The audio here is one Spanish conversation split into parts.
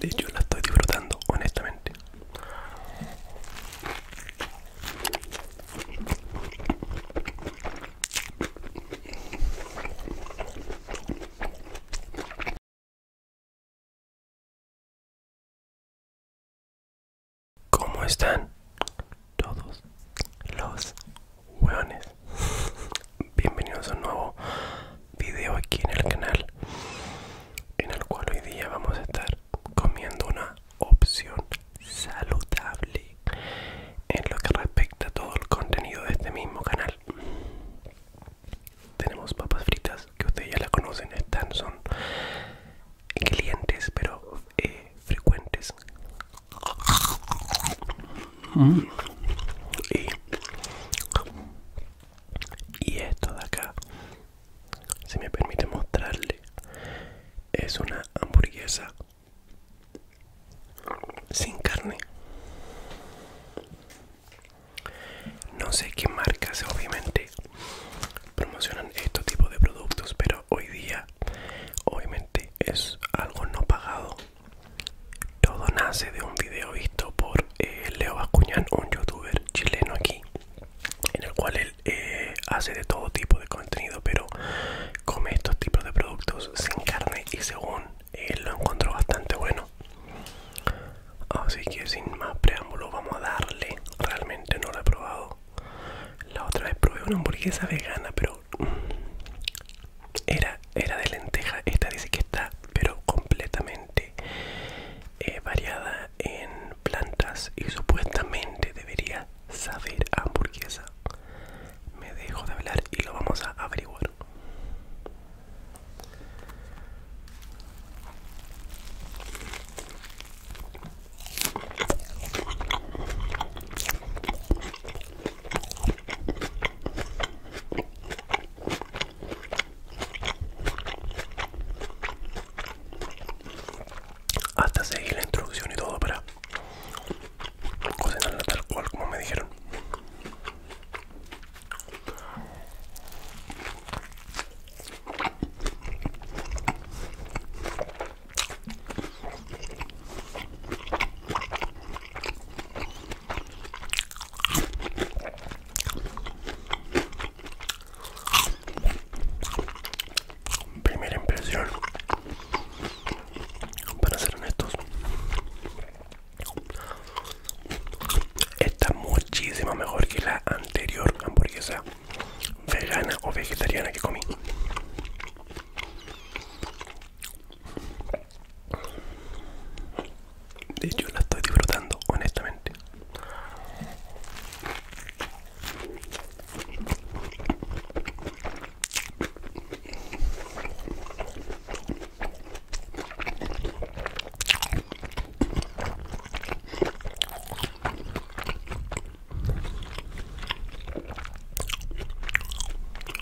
De hecho la estoy disfrutando honestamente. ¿Cómo están todos los hueones? Bienvenidos a un nuevo video aquí en el canal en el cual hoy día vamos a estar comiendo una opción saludable en lo que respecta a todo el contenido de este mismo canal tenemos papas fritas que ustedes ya la conocen están son clientes pero eh, frecuentes mm y esto de acá si me permite mostrarle es una hamburguesa sin carne no sé qué marcas obviamente promocionan estos tipos de productos pero hoy día obviamente es algo no pagado todo nace de un video visto por eh, Leo Bascuñán, un youtuber chileno aquí, en el cual él eh, hace de todo tipo de contenido, pero come estos tipos de productos sin carne y según él lo encontró bastante bueno. Así que sin más preámbulo vamos a darle, realmente no lo he probado. La otra vez probé una hamburguesa vegana, pero... Mm, era era de lenteja, esta dice que está pero completamente eh, variada en plantas y supuestamente debería saber hamburguesa. Me dejo de hablar y lo vamos a averiguar. Hasta seguir la introducción y todo para cocinarla tal cual como me dijeron. Primera impresión, para ser honestos, está muchísimo mejor que la anterior hamburguesa vegana o vegetariana que comí. De hecho la estoy disfrutando honestamente.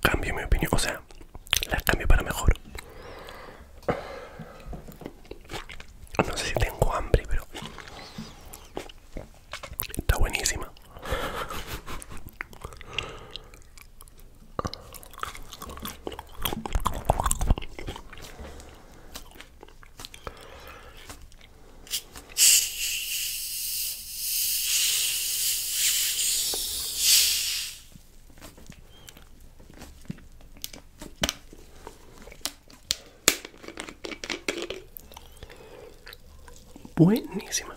Cambio mi opinión, o sea, la cambio para mejor. No sé si tengo hambre, pero está buenísima. Buenísima.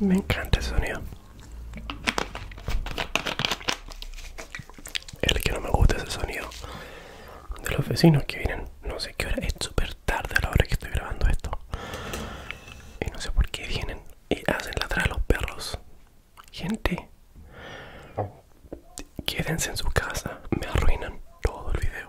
Me encanta ese sonido. El que no me gusta es el sonido de los vecinos que vienen. No sé qué hora, es súper tarde a la hora que estoy grabando esto. Y no sé por qué vienen y hacen ladrar a los perros. Gente, quédense en su casa, me arruinan todo el video.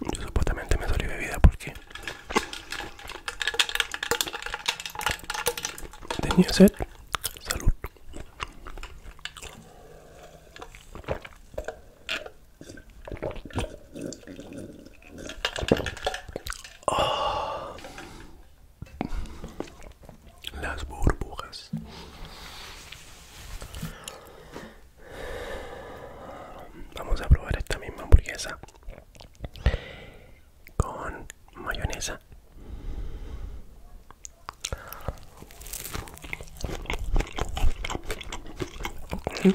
Yo supuestamente me doy bebida porque tenía sed. Salud. Oh. las burbujas. Vamos a probar esta misma hamburguesa con mayonesa.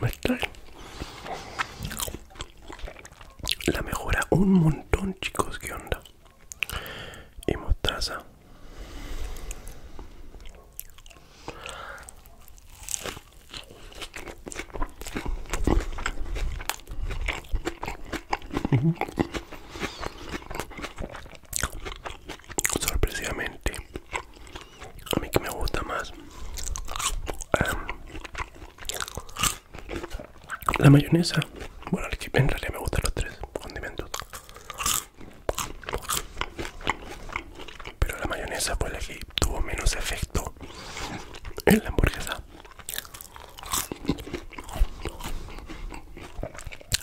Me trae la mejora un montón, chicos. que onda? Y mostaza. Sorpresivamente a mí que me gusta más em, la mayonesa bueno en realidad me gustan los tres condimentos pero la mayonesa fue la que tuvo menos efecto en la hamburguesa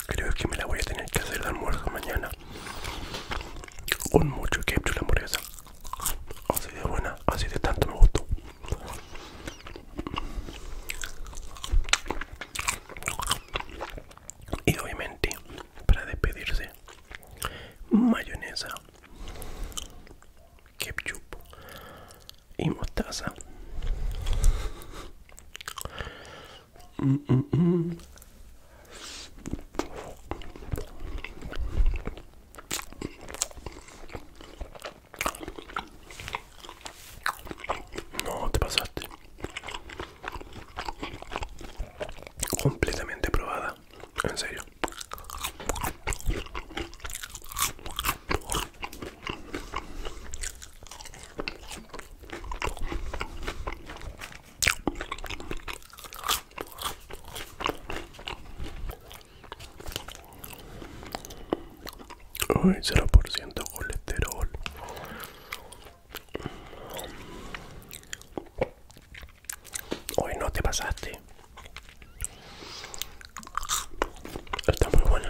creo que me la voy a tener que hacer de almuerzo mañana con mucho ketchup la hamburguesa Así de buena, así de tanto me gustó. Y obviamente, para despedirse, mayonesa, ketchup y mostaza. Mm, mm, mm. No, te pasaste. Completamente probada. En serio. Uy, 0% colesterol. Hoy no te pasaste. Está muy buena.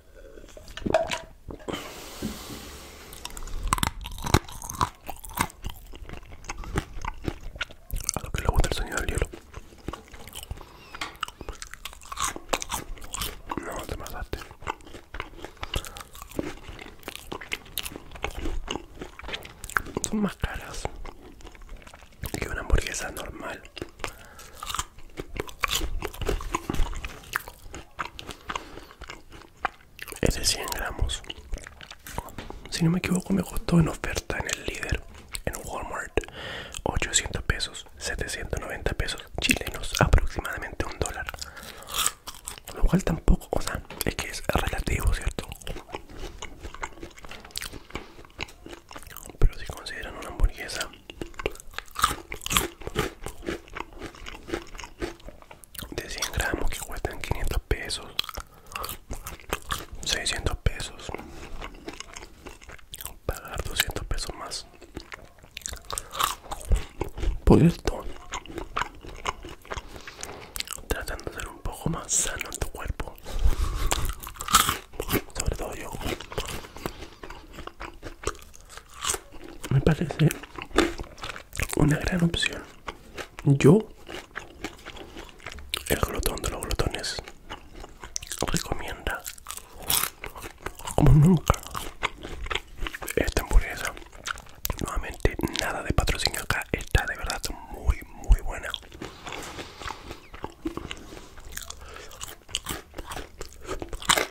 A lo que le gusta el sonido del hielo. No, te mataste. Son más caras que una hamburguesa normal es de 100 gramos si no me equivoco me costó en oferta en el líder en Walmart 800 pesos 790 pesos chilenos aproximadamente un dólar lo cual tampoco o sea es que es relativo cierto pero si consideran una hamburguesa de 100 gramos que cuestan 500 pesos 600 pesos pagar 200 pesos más por esto tratando de ser un poco más sano en tu cuerpo sobre todo yo me parece una gran opción. Yo, el glotón de los glotones, recomienda como nunca esta hamburguesa. Nuevamente, nada de patrocinio acá, está de verdad muy, muy buena.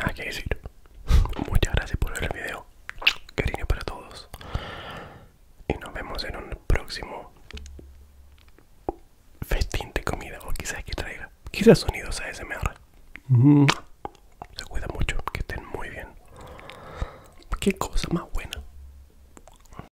Nada que decir. Muchas gracias por ver el video. Cariño para todos. Y nos vemos en un próximo festín de comida. O quizás que traiga. Quizás sonidos ASMR. Mm. Se cuida mucho. Que estén muy bien. Qué cosa más buena.